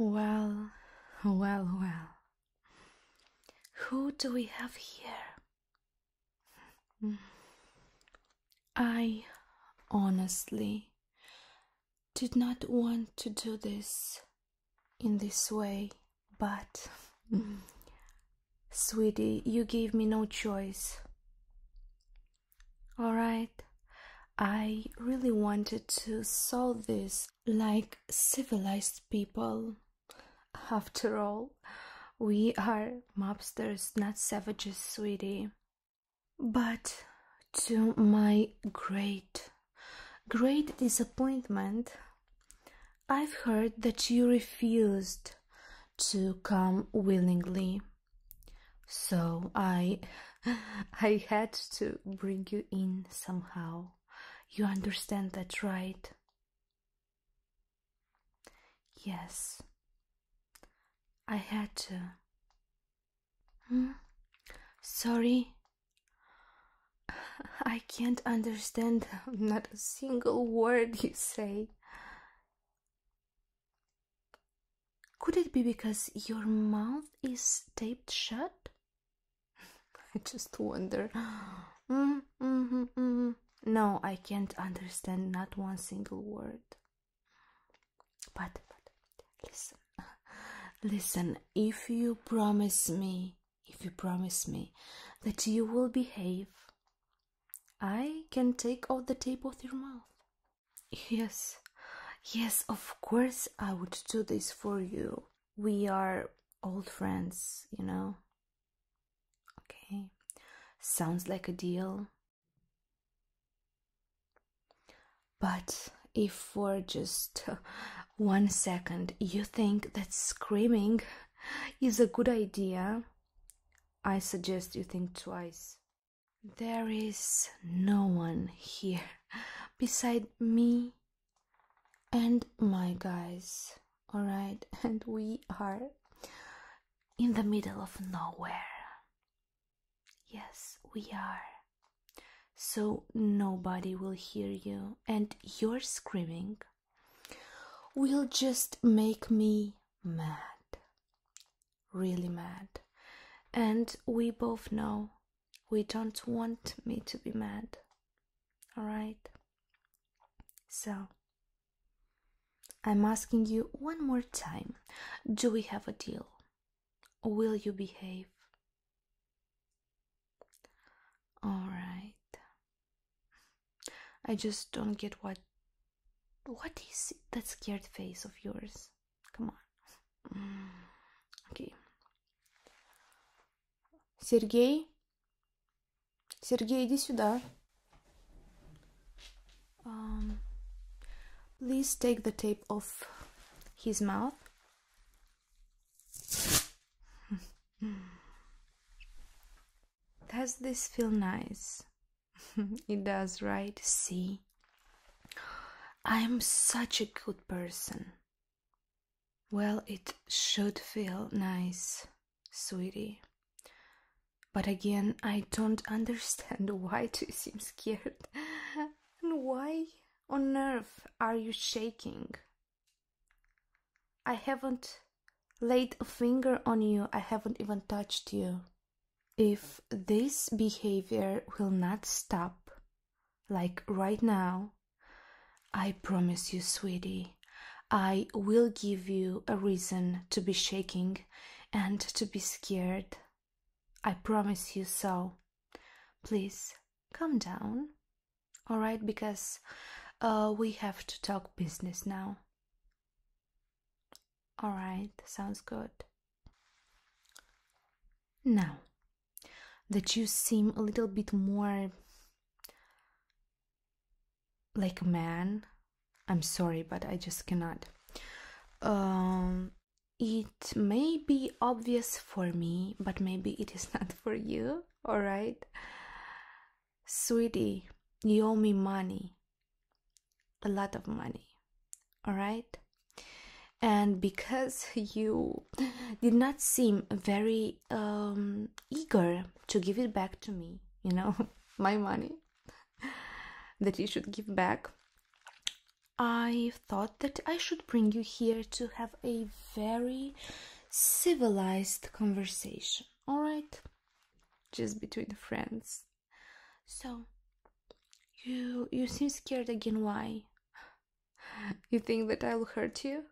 Well, well, well. Who do we have here? I honestly did not want to do this in this way, but sweetie, you gave me no choice. Alright, I really wanted to solve this like civilized people. After all, we are mobsters, not savages, sweetie. But to my great, great disappointment, I've heard that you refused to come willingly. So I I had to bring you in somehow. You understand that, right? Yes, I had to. Hmm? Sorry? I can't understand not a single word you say. Could it be because your mouth is taped shut? I just wonder. Mm-hmm, mm-hmm, mm-hmm. no, I can't understand not one single word. But, listen, listen. If you promise me, if you promise me that you will behave, I can take off the tape of your mouth. Yes, yes, of course I would do this for you. We are old friends, you know. Okay, sounds like a deal. But if for just one second you think that screaming is a good idea, I suggest you think twice. There is no one here beside me and my guys, alright? And we are in the middle of nowhere. Yes, we are. So nobody will hear you, and your screaming will just make me mad. Really mad. And we both know we don't want me to be mad. Alright? So, I'm asking you one more time do we have a deal? Will you behave? Alright. I just don't get what. What is that scared face of yours? Come on. Okay. Sergey, Сергей, иди сюда. Um, please take the tape off his mouth. does this feel nice? it does, right? See? I am such a good person. Well, it should feel nice sweetie. But again, I don't understand why you seem scared. and why on earth are you shaking? I haven't laid a finger on you, I haven't even touched you. If this behavior will not stop, like right now, I promise you, sweetie, I will give you a reason to be shaking and to be scared. I promise you so. Please calm down, all right? Because uh, we have to talk business now. All right, sounds good. Now that you seem a little bit more like a man i'm sorry but i just cannot um, it may be obvious for me but maybe it is not for you all right sweetie you owe me money a lot of money all right and because you did not seem very um, eager to give it back to me, you know, my money that you should give back. I thought that I should bring you here to have a very civilized conversation, all right? Just between friends. So, you you seem scared again. Why? You think that I'll hurt you?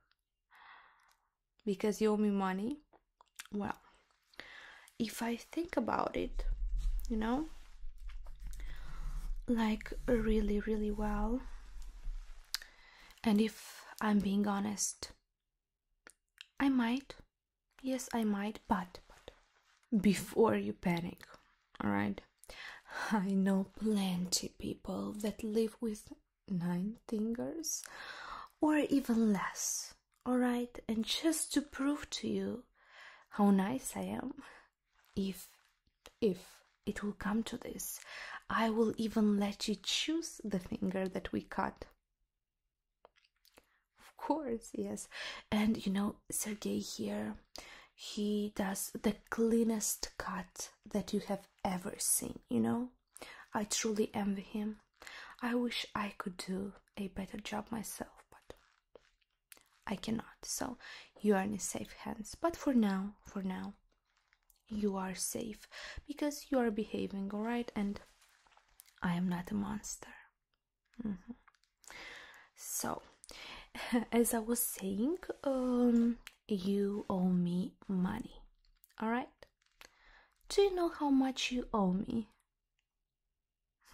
because you owe me money? Well, if I think about it, you know, like really, really well, and if I'm being honest, I might. Yes, I might, but, but before you panic, alright? I know plenty people that live with nine fingers or even less. Alright, and just to prove to you how nice I am, if if it will come to this, I will even let you choose the finger that we cut. Of course, yes. And you know, Sergey here, he does the cleanest cut that you have ever seen, you know? I truly envy him. I wish I could do a better job myself, but I cannot. So you are in safe hands. But for now, for now, you are safe because you are behaving all right and I am not a monster. Mm-hmm. So, as I was saying, um, you owe me money. All right? Do you know how much you owe me?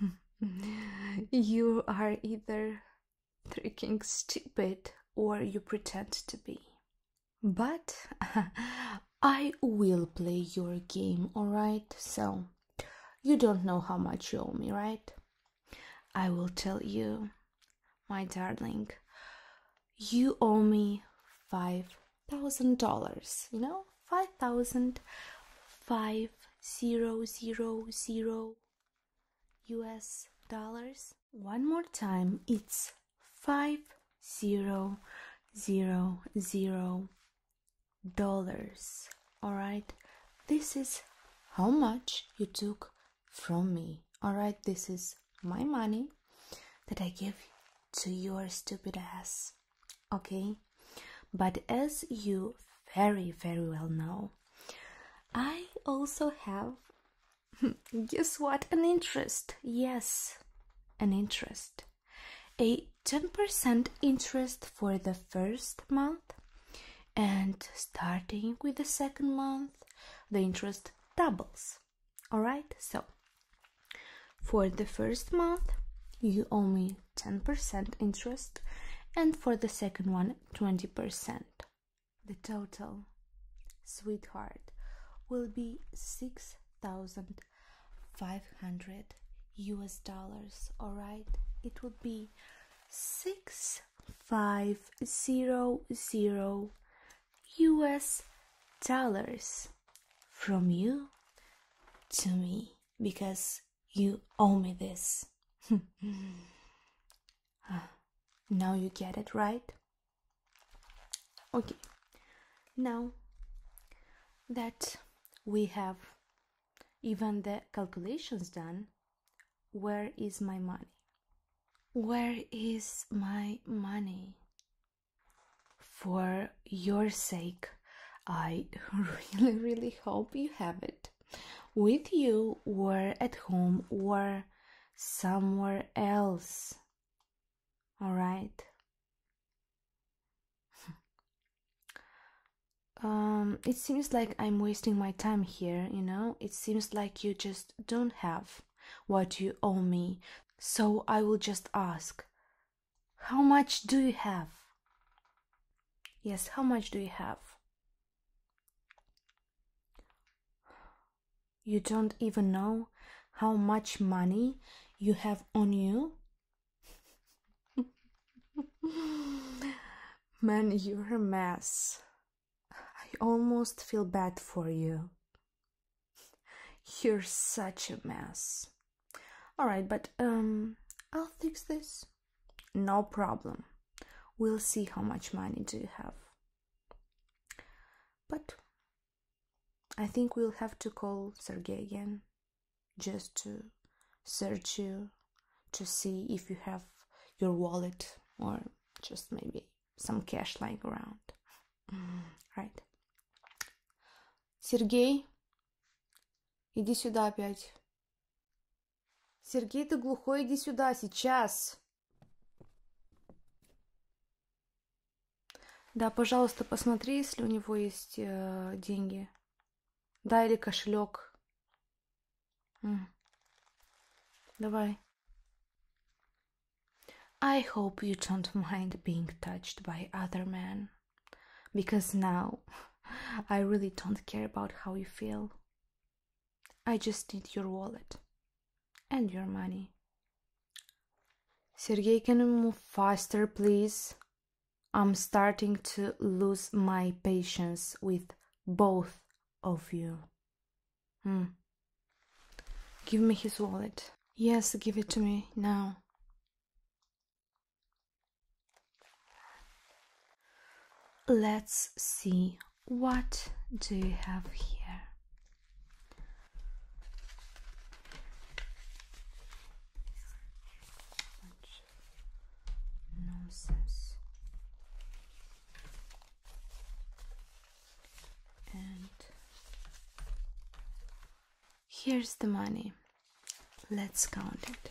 you are either tricking stupid or you pretend to be. But I will play your game, alright? So, you don't know how much you owe me, right? I will tell you, my darling you owe me five thousand dollars you know five thousand five zero zero zero us dollars one more time it's five zero zero zero dollars all right this is how much you took from me. Alright, this is my money that I give to your stupid ass. Okay? But as you very, very well know, I also have, guess what, an interest. Yes, an interest. A 10% interest for the first month, and starting with the second month, the interest doubles. Alright, so for the first month, you owe me 10% interest, and for the second one, 20%. The total, sweetheart, will be 6,500 US dollars, alright? It would be 6,500 US dollars from you to me because you owe me this. Ah, now you get it, right? Okay, now that we have even the calculations done, where is my money? Where is my money? For your sake, I really, really hope you have it with you or at home or somewhere else. All right. Um, it seems like I'm wasting my time here, you know? It seems like you just don't have what you owe me, so I will just ask, How much do you have? Yes, how much do you have? You don't even know how much money you have on you? Man, you're a mess. I almost feel bad for you. You're such a mess. Alright, but um, I'll fix this. No problem. We'll see how much money do you have. But I think we'll have to call Sergey again just to search you to see if you have your wallet or just maybe some cash lying around. Mm, right. Сергей, иди сюда опять. Сергей, ты глухой, иди сюда сейчас. Да, пожалуйста, посмотри, если у него есть э, деньги. Да, или кошелек. Mm. I hope you don't mind being touched by other men, because now I really don't care about how you feel. I just need your wallet and your money. Sergei, can you move faster, please? I'm starting to lose my patience with both of you. Hmm. Give me his wallet. Yes, give it to me now. Let's see what do you have here. Nonsense. And here's the money. Let's count it.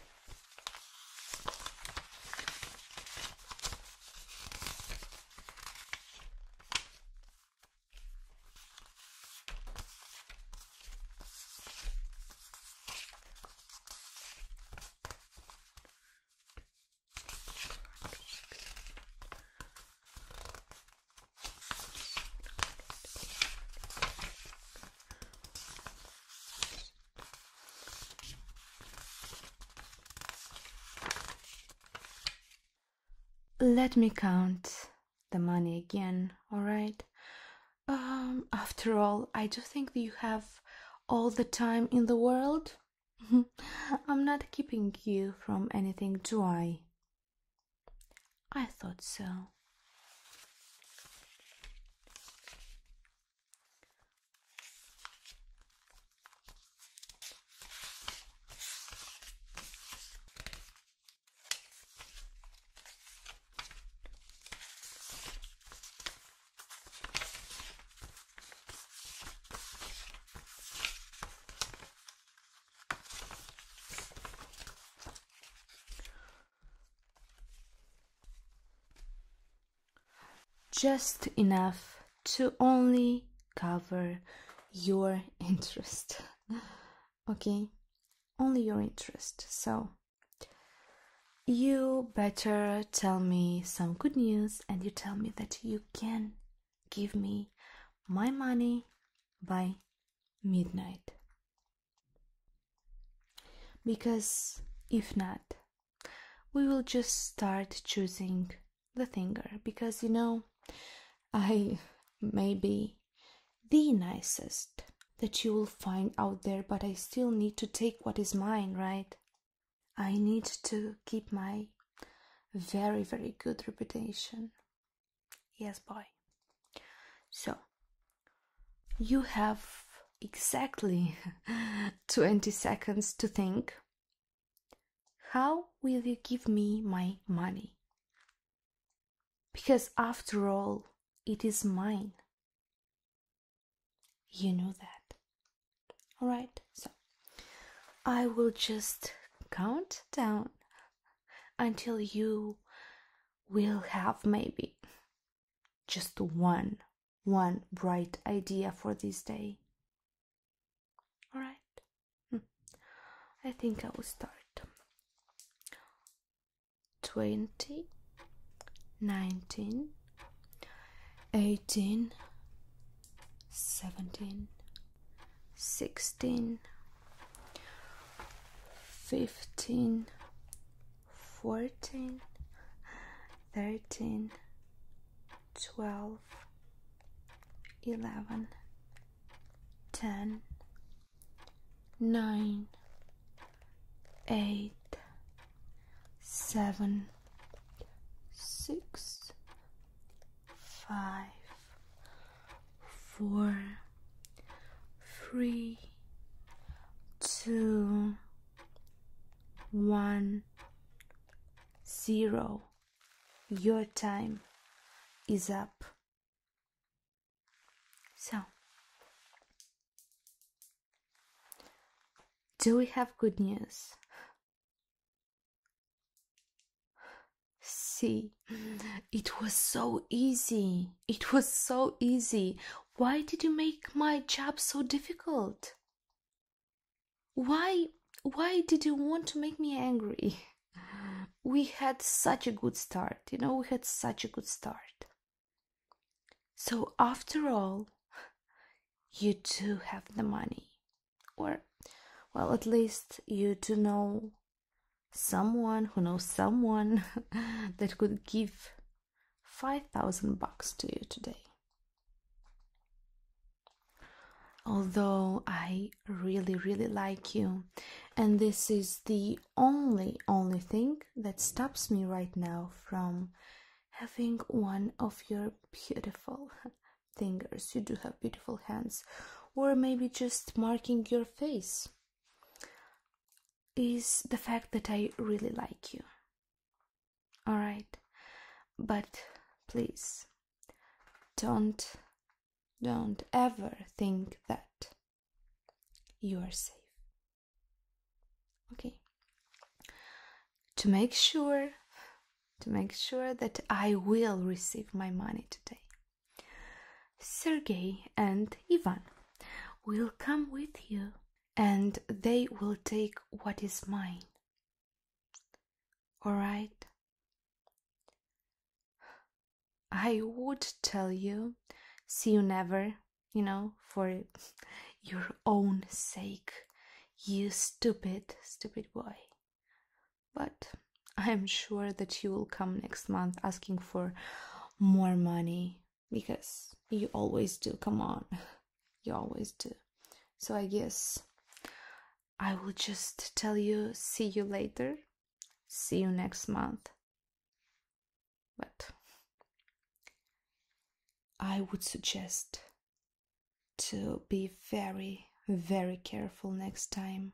Let me count the money again, all right? Um, after all, I do think you have all the time in the world? I'm not keeping you from anything, do I? I thought so. Just enough to only cover your interest. okay? Only your interest. So you better tell me some good news and you tell me that you can give me my money by midnight. Because if not, we will just start choosing the finger because you know I may be the nicest that you will find out there, but I still need to take what is mine, right? I need to keep my very, very good reputation. Yes, boy. So, you have exactly 20 seconds to think. How will you give me my money? Because after all, it is mine. You know that. Alright, so I will just count down until you will have maybe just one one bright idea for this day all right hmm. i think i will start twenty, nineteen, eighteen, seventeen, sixteen, fifteen, fourteen, thirteen, twelve, eleven, ten nine, eight, seven, six, five, four, three, two, one, zero. Your time is up. So, do we have good news? See, it was so easy. It was so easy. Why did you make my job so difficult? Why why did you want to make me angry? We had such a good start. You know, we had such a good start. So, after all, you do have the money. Or, well, at least you do know someone who knows someone that could give 5000 bucks to you today. Although I really, really like you, and this is the only, only thing that stops me right now from having one of your beautiful fingers. You do have beautiful hands, or maybe just marking your face, is the fact that I really like you. Alright, but please don't don't ever think that you are safe. Okay. To make sure to make sure that I will receive my money today. Sergey and Ivan will come with you and they will take what is mine. All right. I would tell you, see you never, you know, for your own sake, you stupid, stupid boy. But I am sure that you will come next month asking for more money because you always do. Come on, you always do. So I guess I will just tell you, see you later, see you next month. But I would suggest to be very, very careful next time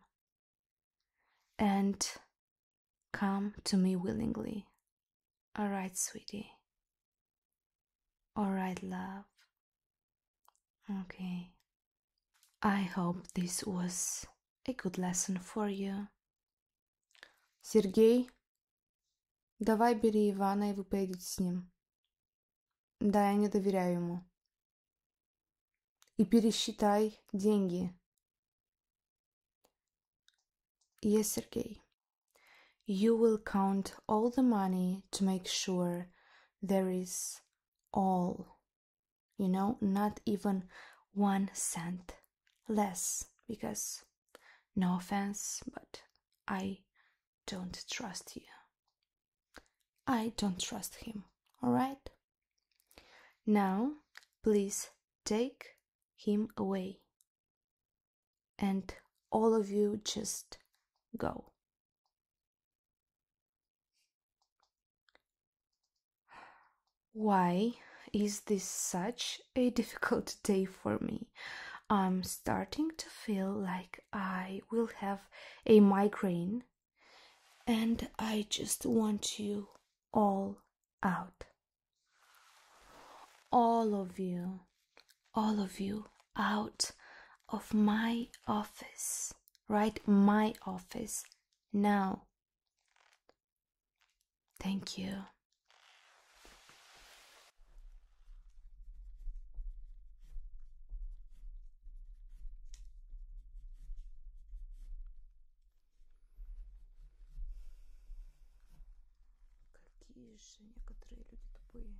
and come to me willingly. All right, sweetie. All right, love. Okay. I hope this was a good lesson for you. Sergey. давай бери Ивана, и вы поедете с ним. Да, я не доверяю ему. И пересчитай деньги. Yes, Sergey. You will count all the money to make sure there is all you know, not even one cent less because no offense, but I don't trust you. I don't trust him, alright? Now, please take him away. And all of you just go. Why is this such a difficult day for me? I'm starting to feel like I will have a migraine, and I just want you all out. All of you, all of you out of my office, right? My office. Now, thank you. Какие же некоторые люди тупые.